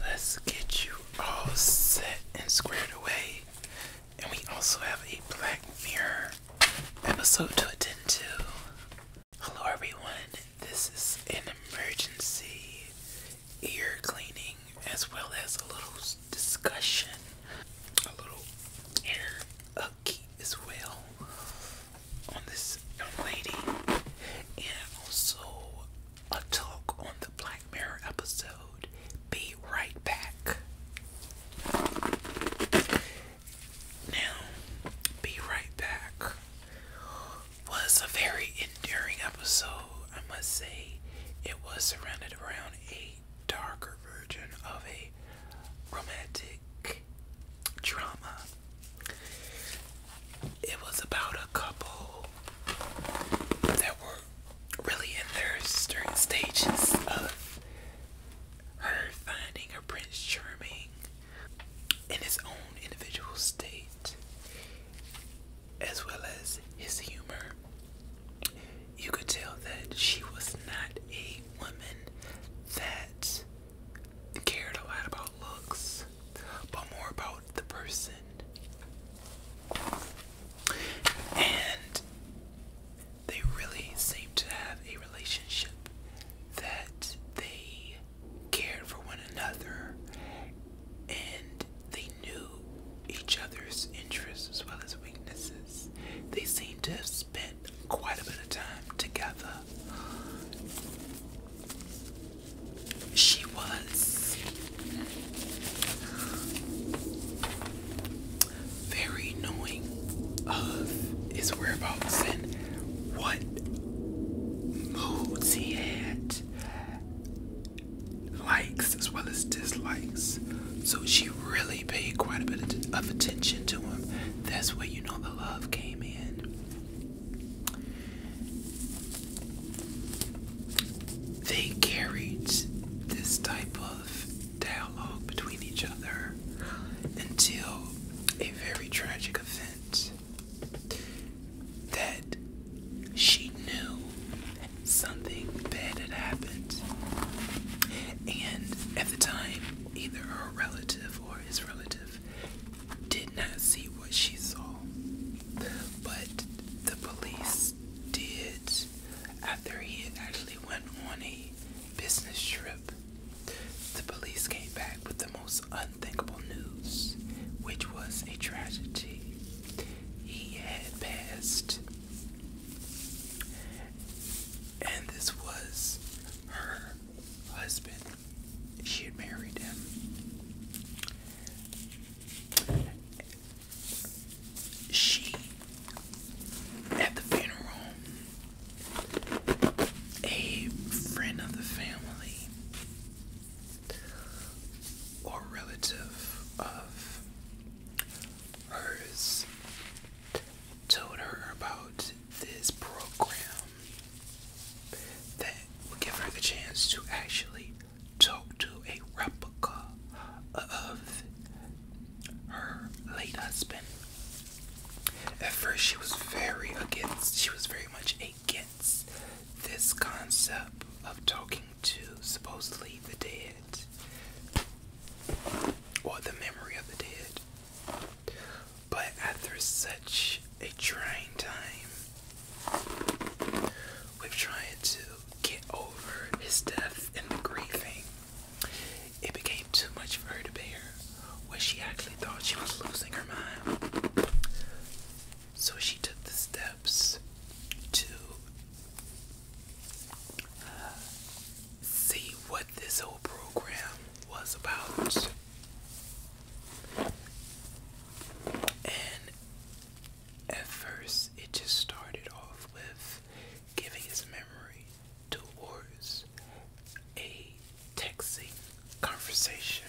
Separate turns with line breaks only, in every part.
Let's get you all set and squared away. And we also have a Black Mirror episode to attend to. Hello, everyone. This is an emergency ear cleaning as well as a little discussion, a little ear as well on this young lady, and also a talk on the Black Mirror episode. Be right back. Now, Be Right Back was a very enduring episode, I must say. It was surrounded around eight a darker version of a romantic drama. It was about a couple that were really in their stages of her finding a Prince Charming in his own individual state, as well as his humor you could tell that she was not a woman that cared a lot about looks, but more about the person. And they really seemed to have a relationship that they cared for one another and they knew each other's interests as well as weaknesses. They seem to have spent quite a bit of time together. She was very knowing of his whereabouts and what moods he had, likes as well as dislikes. So she really paid quite a bit of attention to him, that's where you know the love came in. They carried this type of dialogue between each other until a very tragic event that she knew something bad had happened. And at the time, either her relative or his relative did not see what she saw. But the police did after he actually went on a business trip. The police came back with the most unthinkable news, which was a tragedy. He had passed and this was her husband. She had married him. She, at the funeral, a friend of the family or relative of hers told her about this program that would give her a chance to actually talk to a replica of her late husband. At first, she was very against, she was very much against this concept of talking to supposedly the dead or the memory of the dead. But after such a trying time with trying to get over his death and the grieving, it became too much for her to bear, where she actually thought she was losing her mind. So she took the steps to see what this whole program was about. And at first, it just started off with giving his memory towards a texting conversation.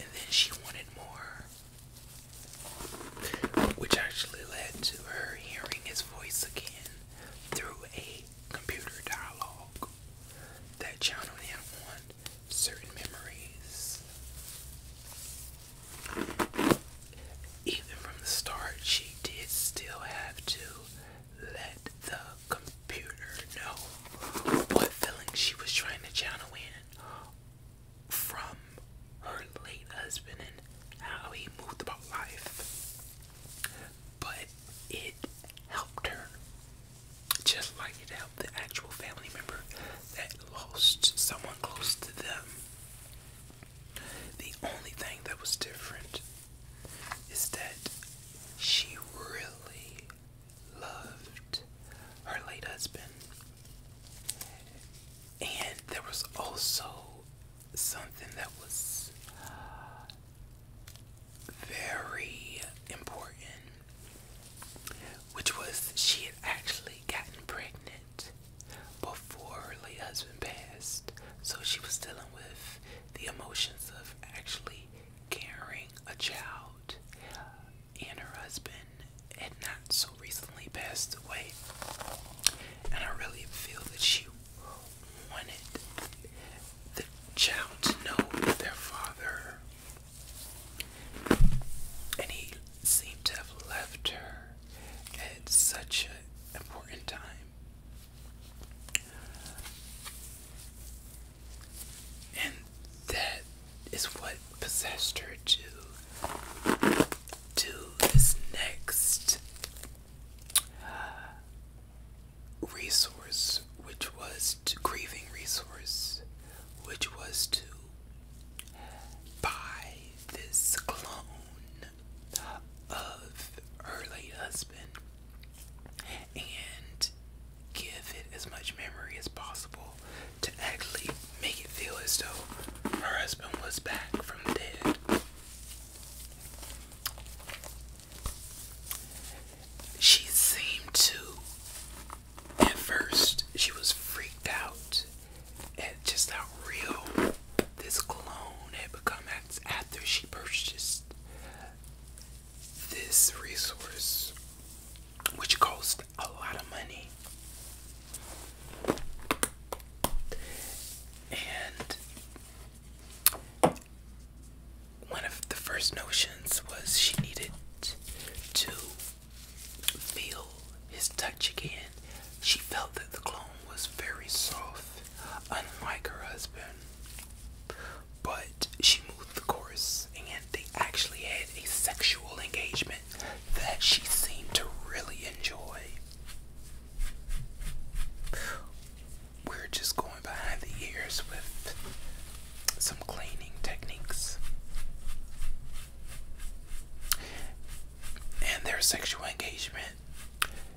And then she wanted more which actually led to her hearing his voice again through a computer dialogue that channeled him on certain memories. Even from the start, she did still have to let the computer know what feelings she was trying to channel in from her late husband and how he moved about life. But it helped her. Just like it helped the actual family member that lost someone close to them. The only thing that was different is that she really loved her late husband. And there was also something that was very important, which was she had actually gotten pregnant before her late husband passed. So she was dealing with the emotions of actually carrying a child, and her husband had not so recently passed away, and I really feel that she wanted the child to know their father, and he seemed to have left her at such an important time. And that is what possessed her too to this next uh, resource, which was to grieving resource, which was to buy this clone of her late husband and give it as much memory as possible to actually make it feel as though her husband was back from the dead. She seemed to, at first, she was freaked out at just how real this clone had become after she purchased this resource, which cost a lot of money. And one of the first notions was she needed to feel his touch again. She felt that the clone was very soft, unlike her husband. But she moved the course and they actually had a sexual engagement that she seemed to really enjoy. We're just going behind the ears with some cleaning techniques. And their sexual engagement,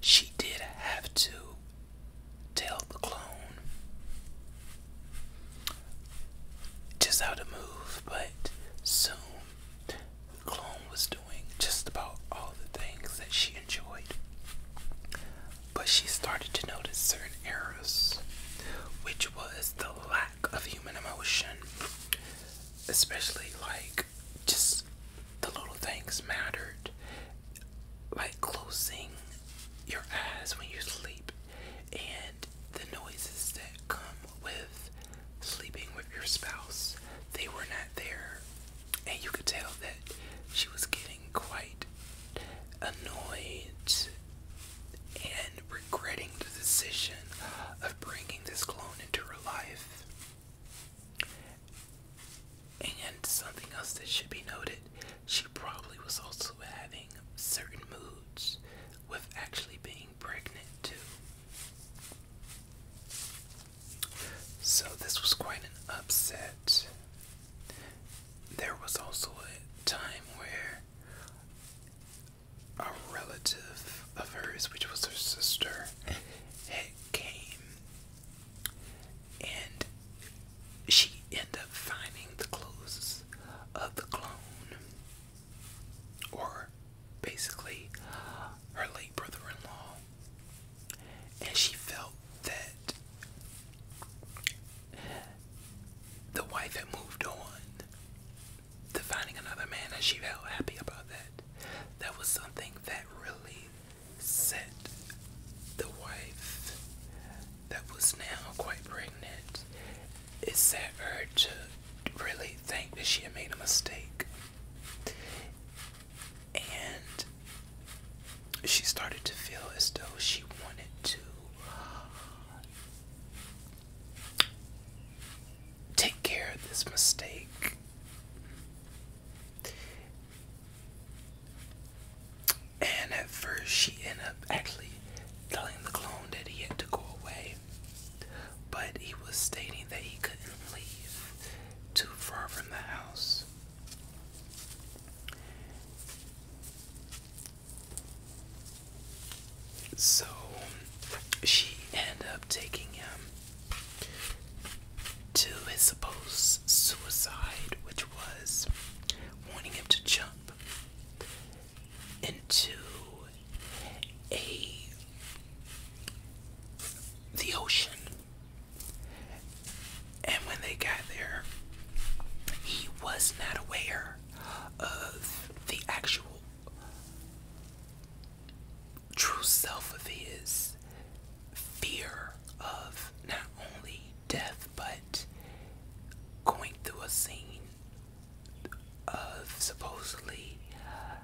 she did have to tell the clone just how to move, but soon Clone was doing just about all the things that she enjoyed. But she started to notice certain errors, which was the lack of human emotion, especially like just the little things mattered, like closing your eyes when you sleep and the noises that come with sleeping with your spouse, they were not there. And you could tell that she was getting quite annoyed and regretting the decision of bringing this clone into her life. And something else that should be noted, she probably was also having certain moods with actually being pregnant too. So, this was quite an upset. There was also a time where a relative of hers, which was her sister, had came and she ended up finding the clothes of the clone or basically her late brother in law, and she felt that the wife had moved on to finding another man, and she felt happy about that. That was something that really set the wife that was now quite pregnant. It set her to really think that she had made a mistake. And she started to feel as though she wanted to take care of this mistake. And at first, she ended up actually telling the clone that he had to go away but he was stating that he couldn't leave too far from the house. So she ended up taking him to his supposed suicide, which was wanting him to jump into a the ocean. And when they got there, he was not aware of the actual true self of his fear of not only death but going through a scene of supposedly uh,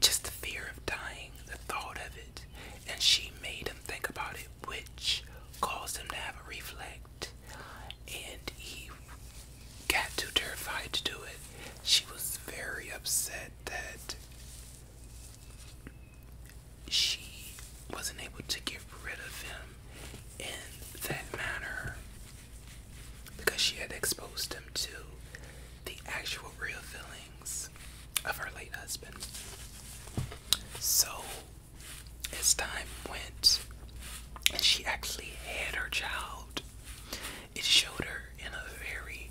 just the fear of dying, the thought of it, and she made him think about it, which caused him to have a reflect, and he got too terrified to do it. She was very upset that she wasn't able to get rid of him in that manner because she had exposed him to the actual real feelings of her late husband. So, as time went, and she actually had her child, it showed her in a very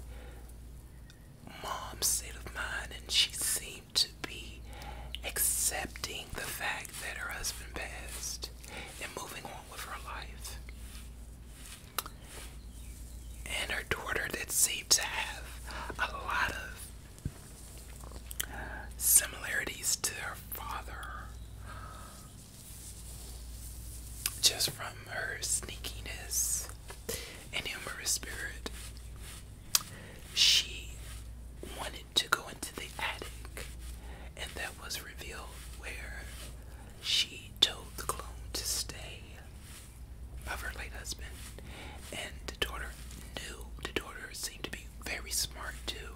mom state of mind, and she seemed to be accepting the fact that her husband passed and moving on with her life. And her daughter that seemed to have a lot of similarities to her father. Just from her sneakiness and humorous spirit, she wanted to go into the attic and then was revealed where she told the clone to stay of her late husband, and the daughter knew. The daughter seemed to be very smart too,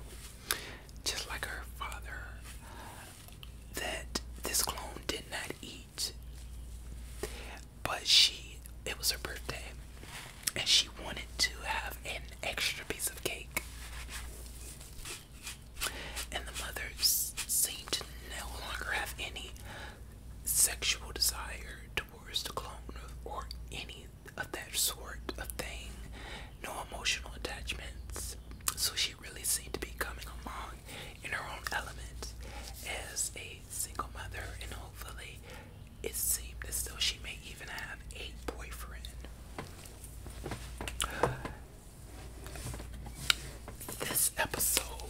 just like her father. That this clone did not eat, but she. It was her birthday, and she wanted to have an extra piece of cake and the mother seemed to no longer have any sexual desire towards the clone or any of that sort of thing, no emotional attachments. So she really seemed to be coming along in her own element as a single mother, and hopefully, it seemed as though she may even have a boyfriend. This episode,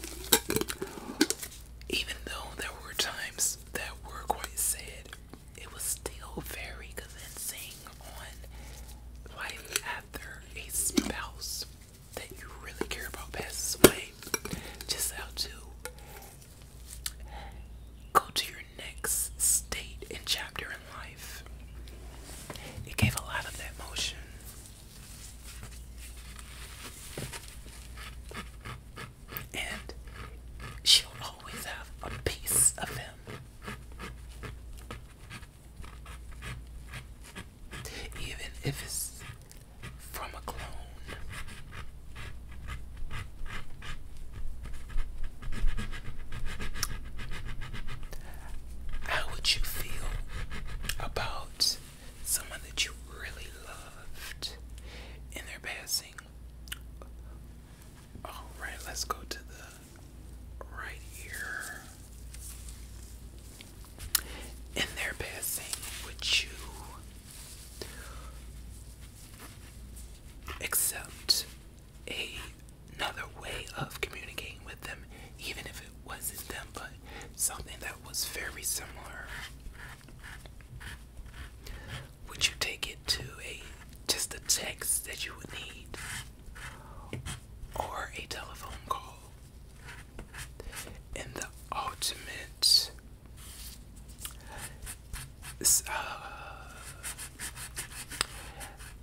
even though there were times that were quite sad, it was still very convincing on life after a spouse that you really care about passes away. Just how to go to your next state and chapter life. It gave a lot of that motion. And she'll always have a piece of him. Even if it's from a clone. How would you feel about someone that you really loved in their passing? Alright, let's go to the right ear. In their passing, would you accept a, another way of communicating with them, even if it wasn't them, but something that was very similar. Would you take it to a just a text that you would need, or a telephone call? And the ultimate uh,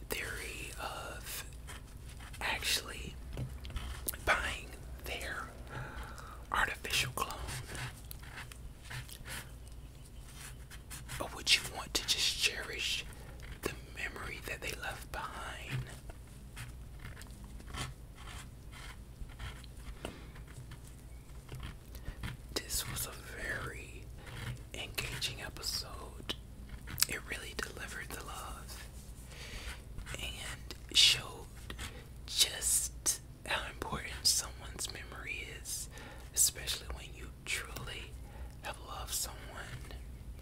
theory of actually buying their artificial clone. Or would you want to just cherish the memory that they left behind? This was a very engaging episode. It really delivered the love and showed just how important someone's memory is, especially when you truly have loved someone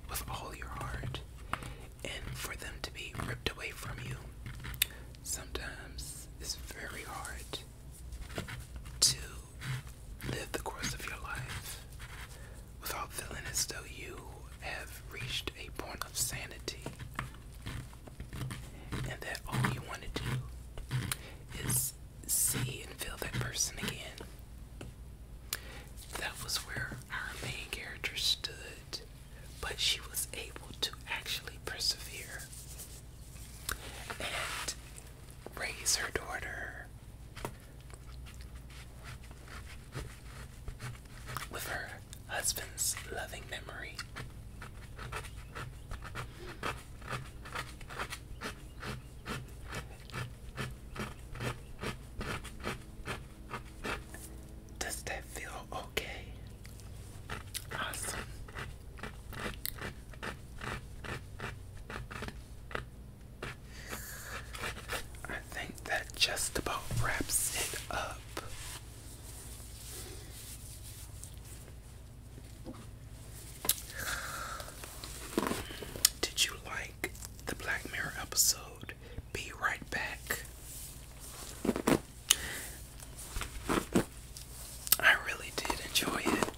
with all your heart. And for them to be ripped away from you sometimes is very hard to live the course of your life without feeling as though you have reached a point of sanity and that all you want to do is see and feel that person again. That was where our main character stood, but she was able to actually persevere. And Raise her daughter With her husband's loving memory. Does that feel okay? Awesome. I think that just about wraps it up. Did you like the Black Mirror episode? Be right back. I really did enjoy it.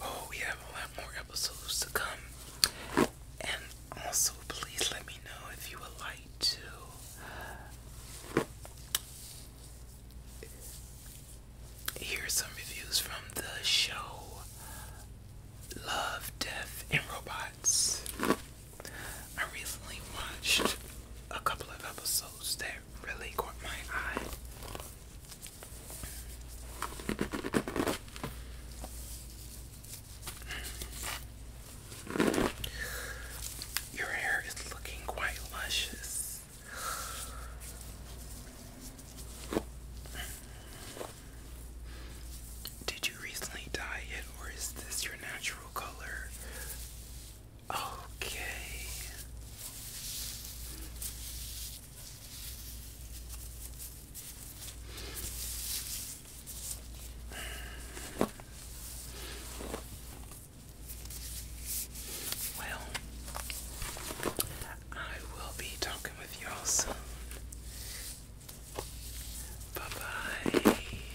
Oh, we have a lot more episodes to come. And also, please let me know if you would like to hear some reviews from the show Love, Death, and Robots. I recently watched a couple of episodes that really caught my eye. Your hair is looking quite luscious. Did you recently dye it, or is this your natural color? Okay. Well, I will be talking with y'all soon. Bye bye.